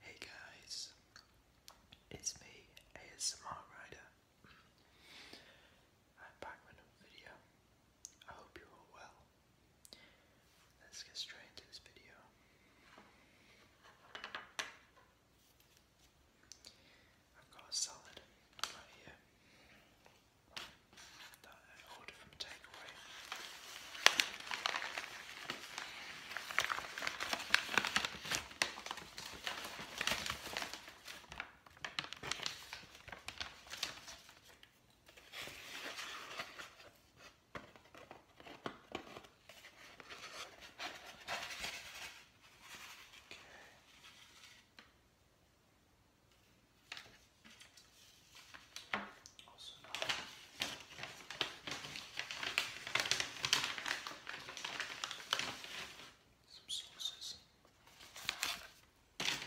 Hey guys, it's me, ASMR Rider. I'm back with another video. I hope you're all well. Let's get straight into this video. I've got a salad right here that I ordered takeaway. Okay. Also not. Some sauces. That's it.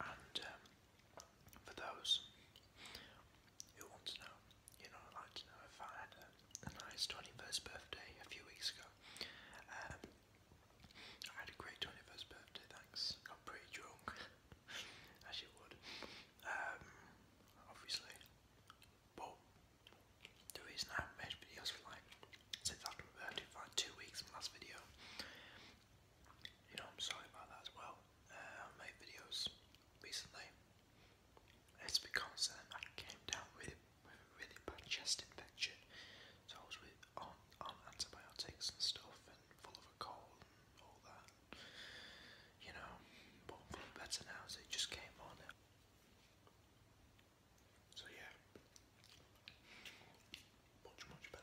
And um, for those who want to know, you know, i like to know I had a, nice 21st birthday a few weeks ago. Um, I had a great 21st birthday, thanks. Got pretty drunk, as you would. Um, obviously. But the reason I haven't made videos for like, since after my birthday, for two weeks from last video, you know, I'm sorry about that as well. Uh, I made videos recently. It's because um, I came down with, really bad chest infection, so I was with, on, on antibiotics and stuff, and full of a cold all that. You know, but I'm feeling better now, so it just came on. So yeah, much, much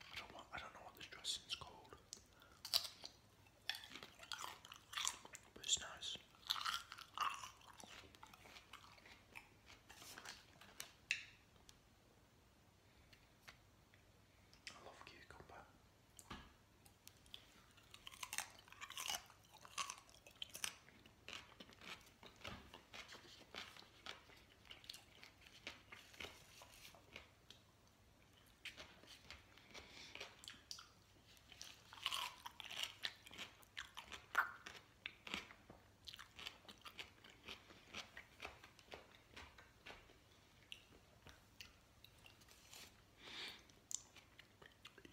I don't want I don't know what this dressing's called it's nice. I love cucumber.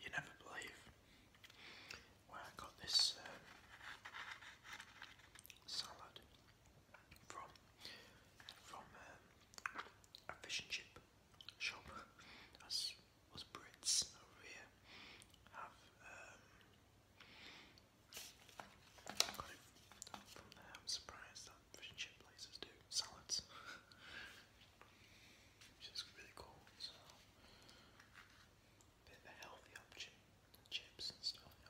You never believe I got this um, salad from from um, a fish and chip shop. That's us Brits over here have um, got it from there. I'm that fish and chip places do salads, which is really cool. bit of a healthy option, chips and stuff. You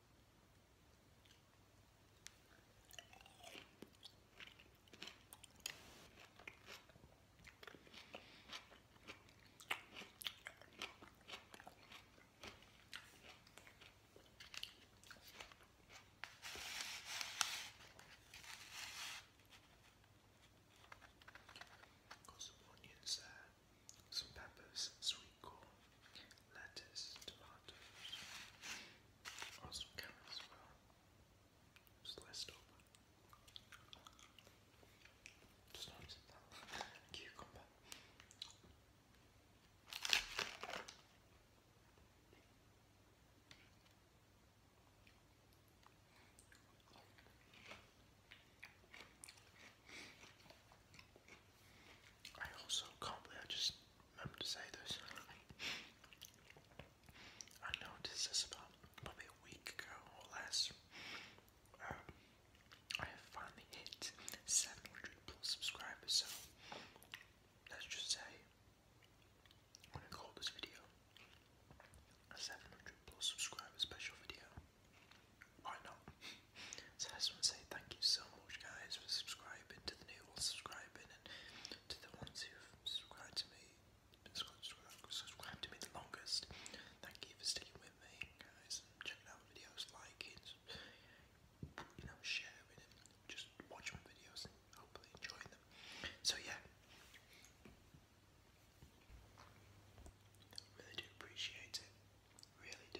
Got some onions some peppers, sweet corn, lettuce, tomatoes, or carrots Sliced up. Just noticed that cucumber. I also can't believe I just remember to say this. I noticed this about probably a week ago or less. Um, I have finally hit 700 plus subscribers, so let's just say I'm gonna call this video a 700 plus subscriber special video. Why not? So I just want to say thank you so much, guys, for subscribing to the new ones, subscribing, and to the ones who've subscribed to me, subscribed to me the longest. Thank you for sticking with me, guys, checking out videos, liking, you know, sharing, and just watching my videos, and hopefully enjoying them. So yeah. really do appreciate it. Really do.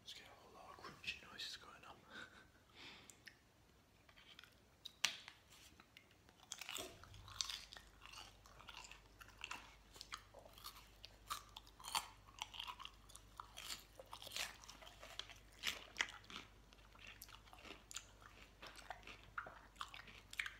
Let's get a whole crunchy noises going on.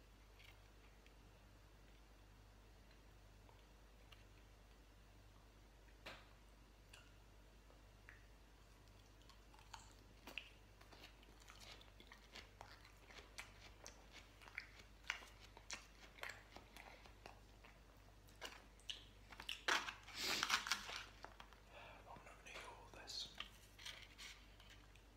I'm not going to eat all this.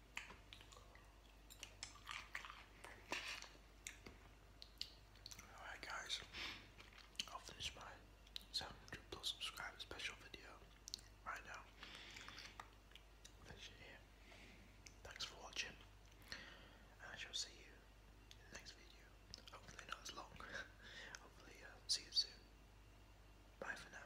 Alright guys, I'll finish my 700 plus subscribers special video right now. Finish here. Thanks for watching, and I shall see you in the next video. Hopefully not as long. Hopefully, uh, see you soon. Bye for now.